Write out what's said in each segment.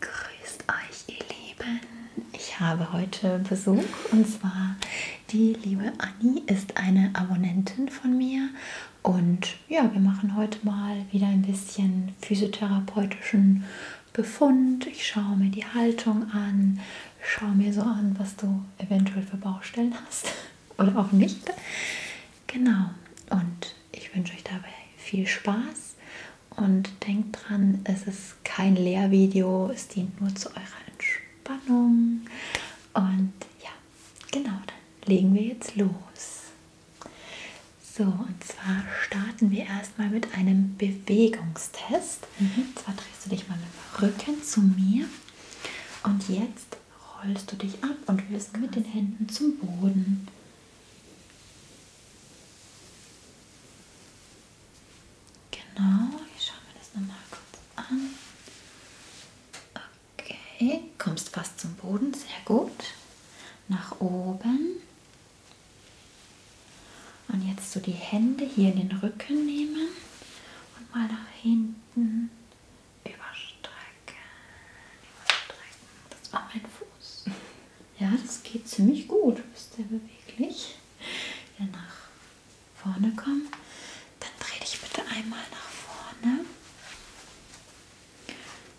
Grüßt euch, ihr Lieben. Ich habe heute Besuch und zwar die liebe Anni ist eine Abonnentin von mir und ja, wir machen heute mal wieder ein bisschen physiotherapeutischen Befund. Ich schaue mir die Haltung an, schaue mir so an, was du eventuell für Baustellen hast oder auch nicht. Genau. Und ich wünsche euch dabei viel Spaß und denkt dran, es ist kein Lehrvideo, es dient nur zu eurer Entspannung. Und ja, genau, dann legen wir jetzt los. So, und zwar starten wir erstmal mit einem Bewegungstest. Mhm. Und zwar drehst du dich mal mit dem Rücken zu mir und jetzt rollst du dich ab und wirst mit den Händen zum Boden. Genau, ich schaue mir das nochmal kurz an. Okay, kommst fast zum Boden, sehr gut. Nach oben. Und jetzt so die Hände hier in den Rücken nehmen und mal nach hinten überstrecken. überstrecken. Das war mein Fuß. Ja, das geht ziemlich gut. Bist sehr beweglich. Wieder nach vorne kommen. Dann dreh dich bitte einmal nach vorne.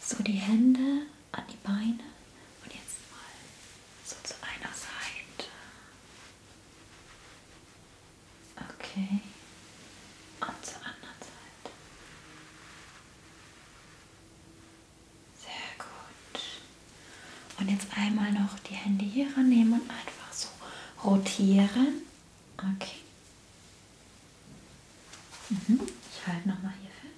So die Hände an die Beine. Und jetzt mal so zu einer Seite. Okay. Und zur anderen Seite. Sehr gut. Und jetzt einmal noch die Hände hier rannehmen und einfach so rotieren. Okay. Mhm. Ich halte nochmal hier fest.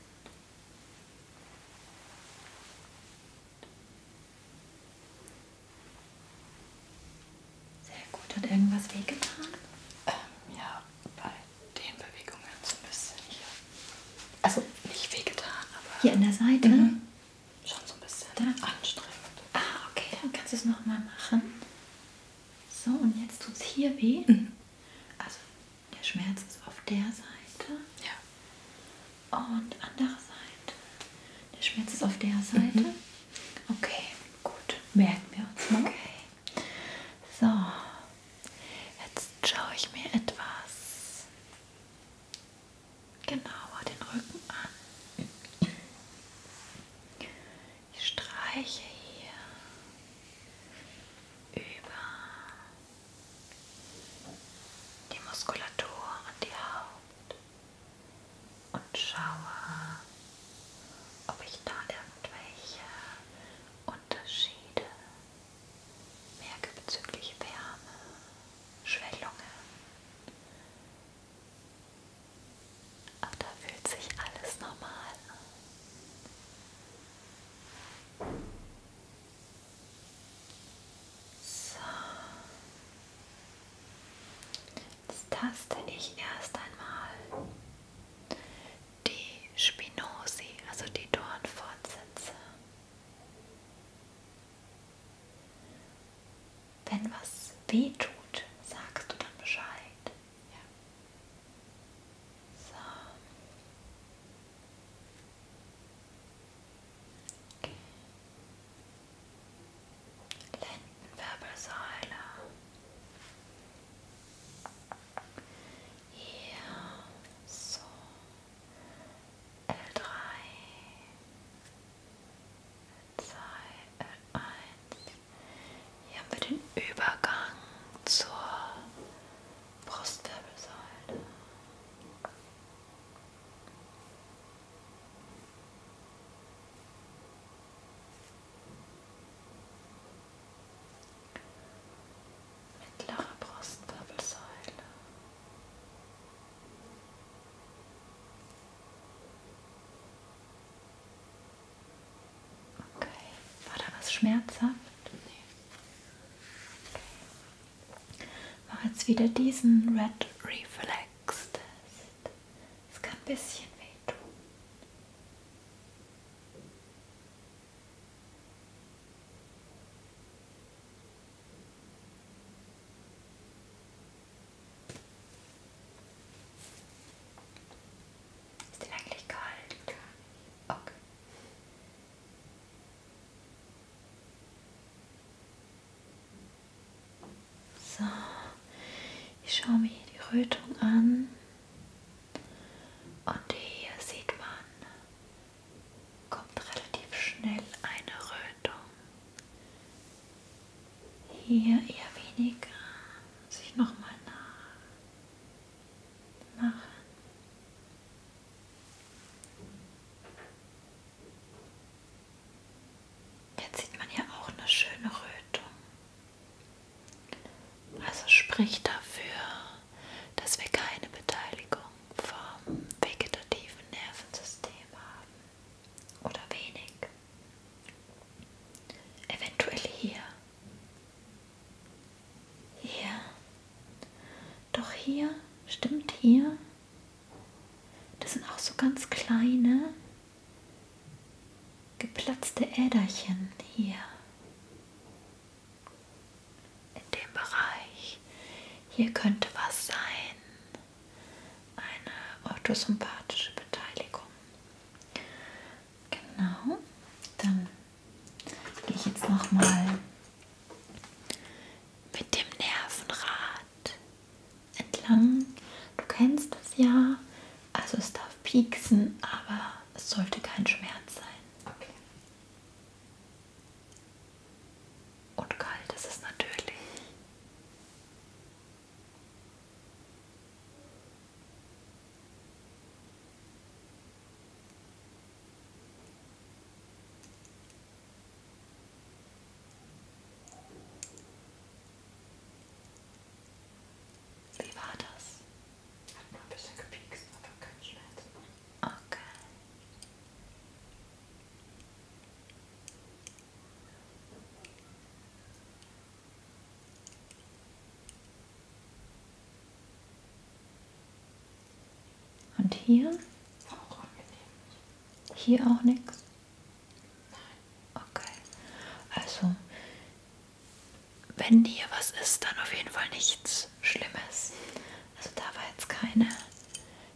Sehr gut. Hat irgendwas wehgetan? Ähm, ja, bei den Bewegungen so ein bisschen hier. Also nicht wehgetan, aber. Hier an der Seite? Mhm. Schon so ein bisschen da. anstrengend. Ah, okay, dann kannst du es nochmal machen. So, und jetzt tut es hier weh. Mhm. Also der Schmerz ist auf der Seite. Ja. Und andere Seite. Der Schmerz ist auf der mhm. Seite. Mhm. Okay, gut. Merken wir uns mal. Okay. So, Jetzt schaue ich mir etwas genauer den Rücken an. Ich streiche hier über die Muskulatur und die Haut und schaue, ob ich da irgendwelche Unterschiede, Merke bezüglich Wärme, Schwellungen. Aber da fühlt sich alles normal an. So. Jetzt taste ich erst einmal die Spinosi, also die Dornfortsätze. Wenn was weh tut, sagst du dann Bescheid. Ja. So. Okay. Lendenwirbelsäule hier so L3 L2 L1 hier haben wir den Übergang zur Brustwirbelsäule Mittlere Brustwirbelsäule. Okay, war da was schmerzhaft? Nee. Okay. Mach jetzt wieder diesen Red Reflex Test. Es kann ein bisschen wehtun. Ist den eigentlich kalt? Okay. So, ich schaue mir hier die Rötung an. Und hier sieht man, kommt relativ schnell eine Rötung. Hier eher weniger, muss ich nochmal nachmachen. Jetzt sieht man hier auch eine schöne Rötung. Also spricht dafür, dass wir keine Beteiligung vom vegetativen Nervensystem haben oder wenig. Eventuell hier. Hier. Doch hier, stimmt hier. Das sind auch so ganz kleine geplatzte Äderchen hier in dem Bereich. Hier könnte was sein. Eine orthosympathische Beteiligung. Genau. Dann gehe ich jetzt nochmal mit dem Nervenrad entlang. Du kennst es ja. Also es darf pieksen, aber es sollte kein Schmerz sein. Okay. Und kalt ist es natürlich. Wie war das? Hat mal ein bisschen gepiekst, aber kein Schmerz. Okay. Und hier? Auch angenehm. Hier auch nichts? Nein. Okay. Also, wenn hier was ist, dann auf jeden Fall nichts Schlimmes. Also da war jetzt keine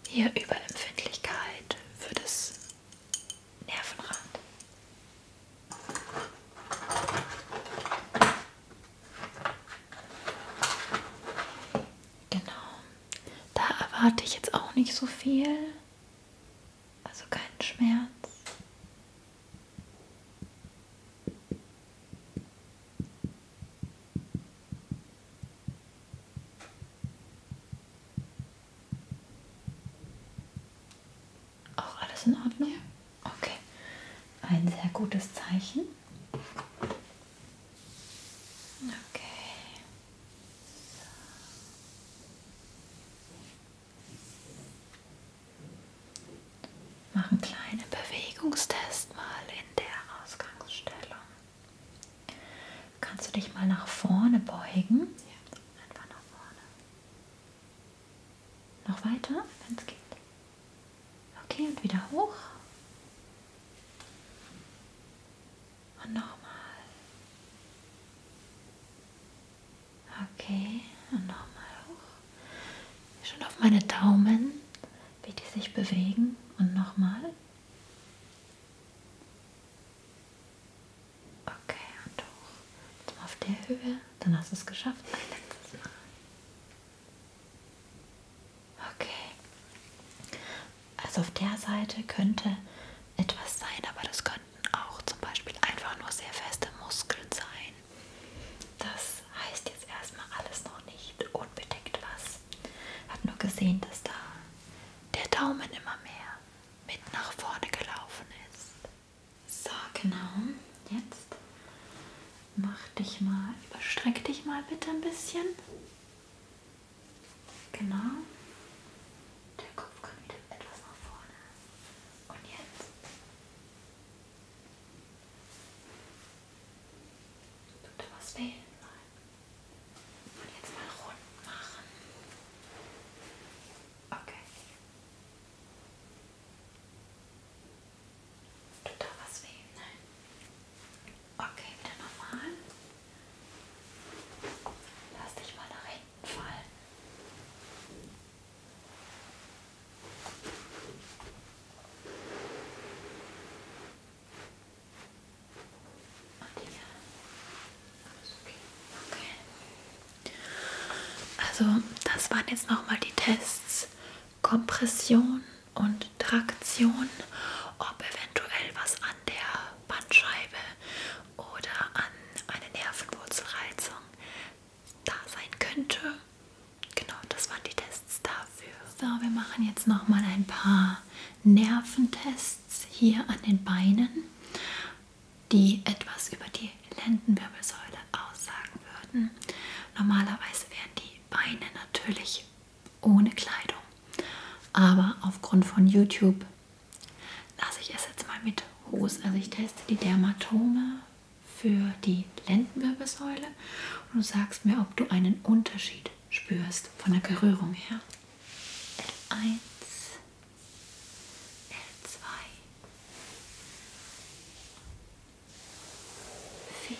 hier Überempfindlichkeit für das Nervenrad. Genau. Da erwarte ich jetzt auch nicht so viel. Also keinen Schmerz. Auch alles in Ordnung? Ja. Okay. Ein sehr gutes Zeichen. Okay. So. Mach einen kleinen Bewegungstest mal in der Ausgangsstellung. Kannst du dich mal nach vorne beugen? Ja. Einfach nach vorne. Noch weiter, wenn es geht. Okay, und wieder hoch. Und nochmal. Okay, und nochmal hoch. Schon auf meine Daumen, wie die sich bewegen. Und nochmal. Okay, und hoch. Jetzt mal auf der Höhe. Dann hast du es geschafft. Ein letztes Mal. Okay. Also auf der Seite könnte etwas sein, aber das kann könnten auch zum Beispiel einfach nur sehr feste Muskeln sein. Das heißt jetzt erstmal alles noch nicht unbedingt was. Ich habe nur gesehen, dass da der Daumen immer mehr mit nach vorne gelaufen ist. So, genau. Jetzt mach dich mal, überstreck dich mal bitte ein bisschen. Genau. Der Kopf kommt wieder etwas nach vorne. Und jetzt Tut da was fehlen? Nein. Und jetzt mal rund machen. Okay. Tut da was weh? Nein. Okay, wieder normal. Lass dich mal nach hinten fallen. Okay. Also das waren jetzt nochmal die Tests Kompression und Traktion, ob eventuell was an der Bandscheibe oder an eine Nervenwurzelreizung da sein könnte. Genau, das waren die Tests dafür. So, wir machen jetzt noch mal ein paar Nerventests hier an den Beinen, die etwas über die Lendenwirbelsäule aussagen würden. Normalerweise wären die Beine natürlich ohne Kleidung, aber aufgrund von YouTube lasse ich es jetzt mal mit Hose. Also ich teste die Dermatome für die Lendenwirbelsäule und du sagst mir, ob du einen Unterschied spürst von der Berührung her. L1, L2, 4,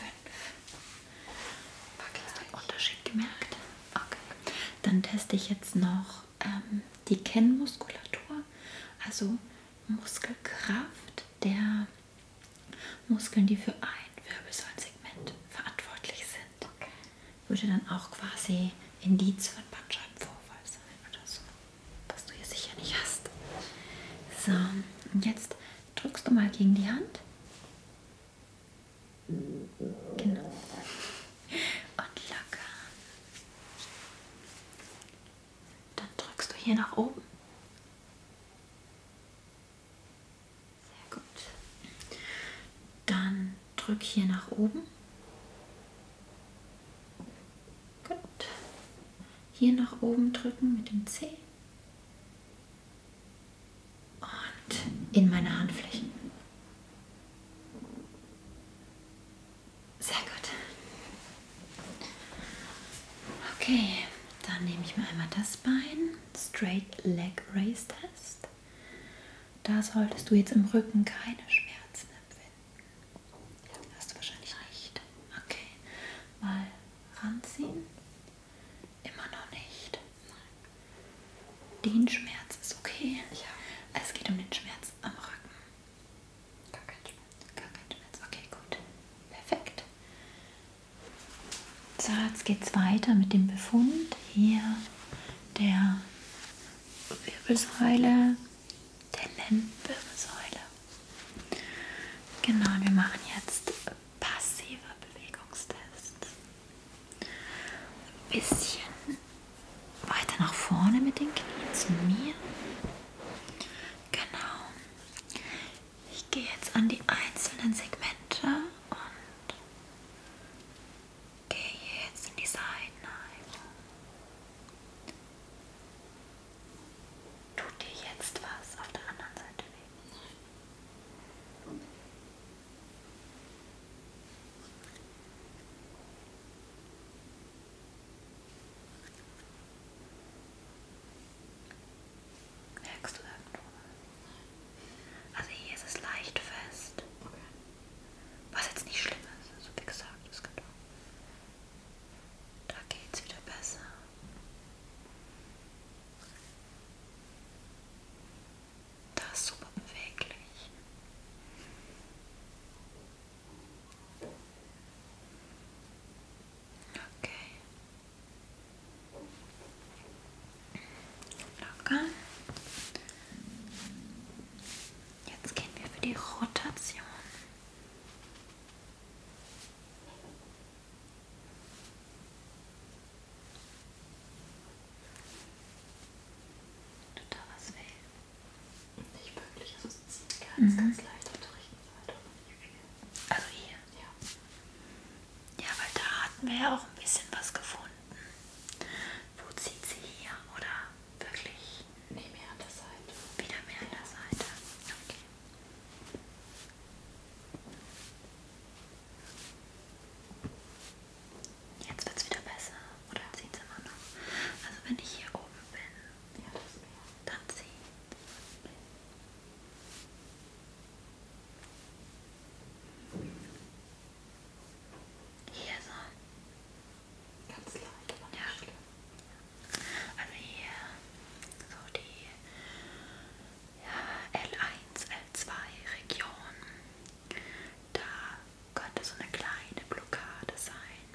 5. Hast du einen Unterschied gemerkt? Okay. Dann teste ich jetzt noch ähm, die Kennmuskulatur, also Muskelkraft der Muskeln, die für ein Wirbelsäulensegment verantwortlich sind, okay. würde dann auch quasi Indiz für einen Bandscheibenvorfall sein oder so, was du hier sicher nicht hast. So, und jetzt drückst du mal gegen die Hand. Genau. Und locker. Dann drückst du hier nach oben. Sehr gut. Dann drück hier nach oben. Gut. Hier nach oben drücken mit dem Zeh. Und in meine Handflächen. Sehr gut. Okay, dann nehme ich mir einmal das Bein. Straight Leg Raise Test. Da solltest du jetzt im Rücken keine Schmerzen empfinden. Hast du wahrscheinlich nicht. Okay, mal ranziehen. Immer noch nicht. Nein. Den Schmerz ist okay. Ja. Es geht um den Schmerz am Rücken. Gar kein Schmerz. Gar kein Schmerz. Okay, gut. Perfekt. So, jetzt geht's weiter mit dem Befund hier der Wirbelsäule, der Lendenwirbelsäule. Genau, und wir machen jetzt passive Bewegungstests. Ein bisschen weiter nach vorne mit den Knien zu mir. Genau. Ich gehe jetzt an die einzelnen Segmente und gehe jetzt in die Seitenheilung. Tut dir jetzt was auf der anderen Seite weh? Merkst du irgendwo? Also hier ist es leicht fest. Okay. Was jetzt nicht schlimm ist, also wie gesagt, das kann doch. Da geht's wieder besser. Das ist super beweglich. Okay. Locker. Jetzt gehen wir für die Rotation. Du da was wählen? Nicht wirklich, also es zieht ganz, mhm. ganz leicht auf der rechten Seite und nicht viel. Also hier? Ja. Ja, weil da hatten wir ja auch ein bisschen was gefunden. Wo zieht sie hier oder wirklich? Nee, mehr an der Seite. Wieder mehr ja. an der Seite. Okay. Jetzt wird es wieder besser. Oder zieht es immer noch? Also wenn ich hier oben bin, ja, das dann zieht Hier so. Ganz leicht, aber nicht ja. schlimm. Also hier so die ja, L1, L2 Region. Da könnte so eine kleine Blockade sein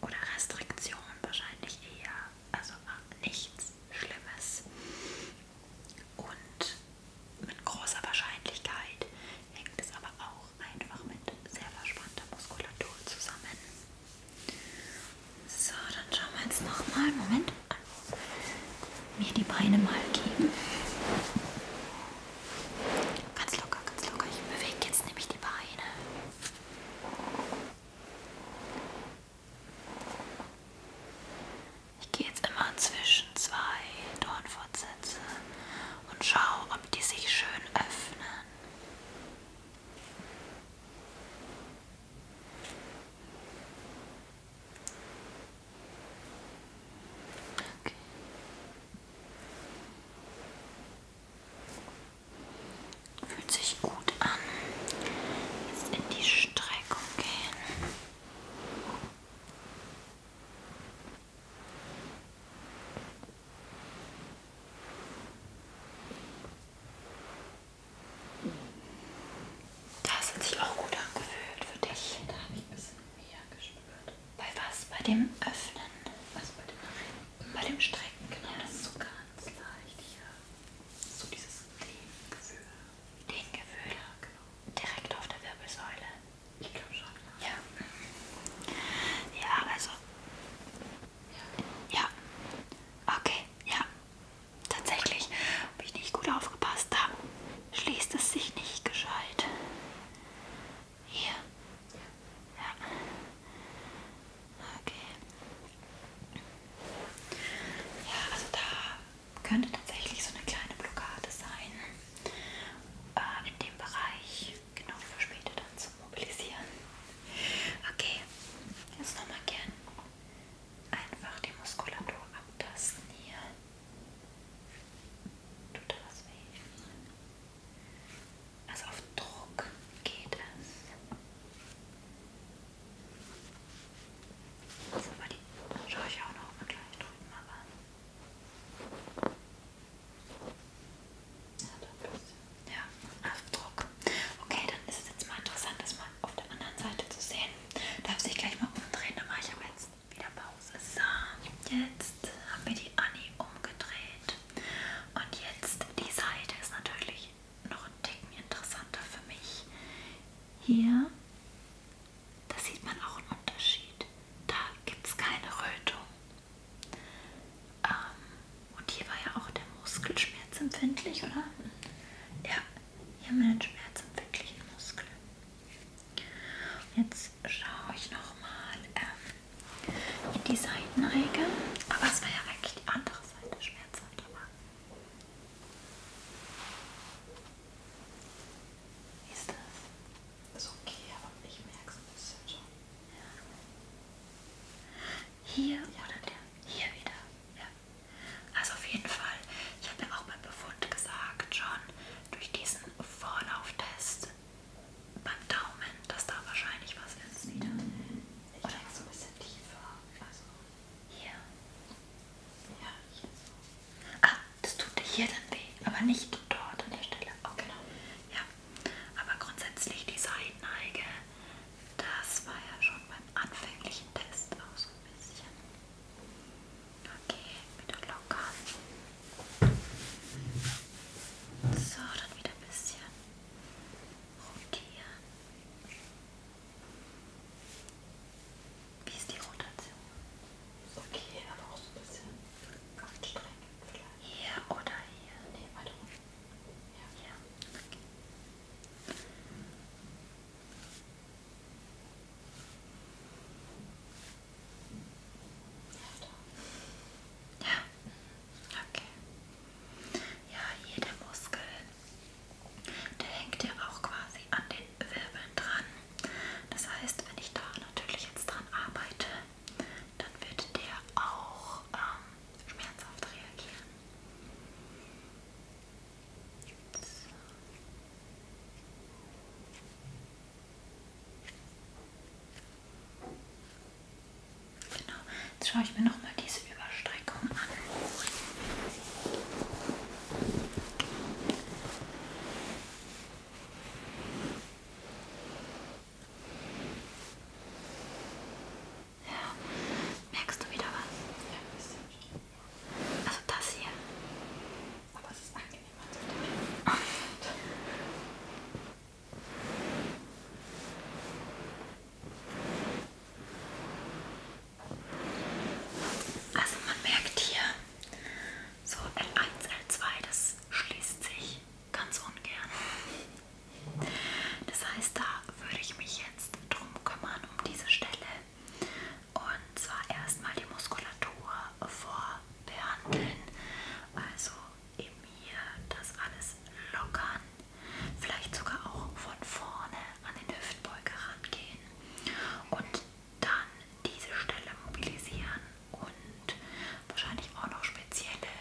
oder Restriktion wahrscheinlich eher, also nichts Schlimmes. Und mit großer Wahrscheinlichkeit hängt es aber auch einfach mit sehr verspannter Muskulatur zusammen. So, dann schauen wir jetzt nochmal. Moment mir die Beine mal geben. Ganz locker, ganz locker. Ich bewege jetzt nämlich die Beine. Ich gehe jetzt immer zwischen zwei Dornfortsätze und schaue, ob die sich schön öffnen. Okay. Fühlt sich gut an. Jetzt in die Streckung gehen. Das hat sich auch gut angefühlt für dich. Da habe ich ein bisschen Mega gespürt. Bei was? Bei dem Öffnen? Also bei dem Öffnen. Bei dem Strecken, genau. Ja. Das ist so ganz leicht hier. So dieses Dehngefühl. Dehngefühl? Ja, genau. Direkt auf der Wirbelsäule? Ich glaube schon, ja. Ja, ja also. Ja. ja. Okay, ja. Tatsächlich habe ich nicht gut aufgepasst. Da schließt es sich nicht gescheit. Hier. Ja. Okay. Ja, also da könnte tatsächlich so eine kleine Blockade sein. Äh, in dem Bereich. Genau für später dann zu mobilisieren. Okay. Jetzt nochmal gern einfach die Muskulatur abtasten hier. Tut da was weh? Also auf Druck geht es. Also mal die schaue ich auch noch mal gleich drüben mal an. Ja, doch ja, auf Druck. Okay, dann ist es jetzt mal interessant, das mal auf der anderen Seite zu sehen. Darf sich gleich mal umdrehen, da mache ich aber jetzt wieder Pause. So, jetzt haben wir die Annie umgedreht. Und jetzt die Seite ist natürlich noch ein Ticken interessanter für mich. Hier, da sieht man auch einen Unterschied. Da gibt es keine Rötung. Ähm, und hier war ja auch der Muskel schmerzempfindlich, oder? Ja, hier meinen schmerzempfindlichen Muskeln. Jetzt schaue ich nochmal ähm, in die Seitenneige, aber es war ja eigentlich die andere Seite schmerzhaft. Aber Wie ist das? Ist okay, aber ich merke es ein bisschen schon. Ja. Hier ja. oder der? Hier wieder. Ja. Also auf jeden Fall, ich habe ja auch beim Befund gesagt schon, durch diesen Vorlauftest beim Daumen, dass da wahrscheinlich was ist wieder. Mhm. Ich Oder so ein bisschen tiefer. Also hier. Ja, hier so. Ah, das tut dir hier dann weh, aber nicht dort an der Stelle. Oh, genau. Ja, aber grundsätzlich die Seitenneige, das war ja schon beim anfänglichen Test auch so ein bisschen. Okay, wieder locker. So, dann wieder ein bisschen rotieren. Wie ist die Rotation? Ist okay, aber auch so ein bisschen anstrengend vielleicht. Hier oder hier? Nee, weiter unten. Ja. ja. Okay. Ja, okay. Ja, hier der Muskel, der hängt ja auch quasi an den Wirbeln dran. Das heißt, wenn ich da natürlich jetzt dran arbeite, dann wird der auch ähm, schmerzhaft reagieren. Genau, jetzt schaue ich mir nochmal diese Überstreckung an. Ja, merkst du wieder was? Ja, ein bisschen. Also das hier. Aber es ist angenehmer zu drehen. Also man merkt hier, so L1, L2, das schließt sich ganz ungern. Das heißt, da würde ich mich jetzt drum kümmern, um diese Stelle. Und zwar erstmal die Muskulatur vorbehandeln. Also eben hier das alles lockern. Vielleicht sogar auch von vorne an den Hüftbeuger rangehen. Und dann diese Stelle mobilisieren und wahrscheinlich auch noch spezielle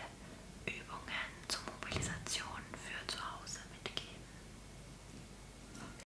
Übungen zur Mobilisation für zu Hause mitgeben.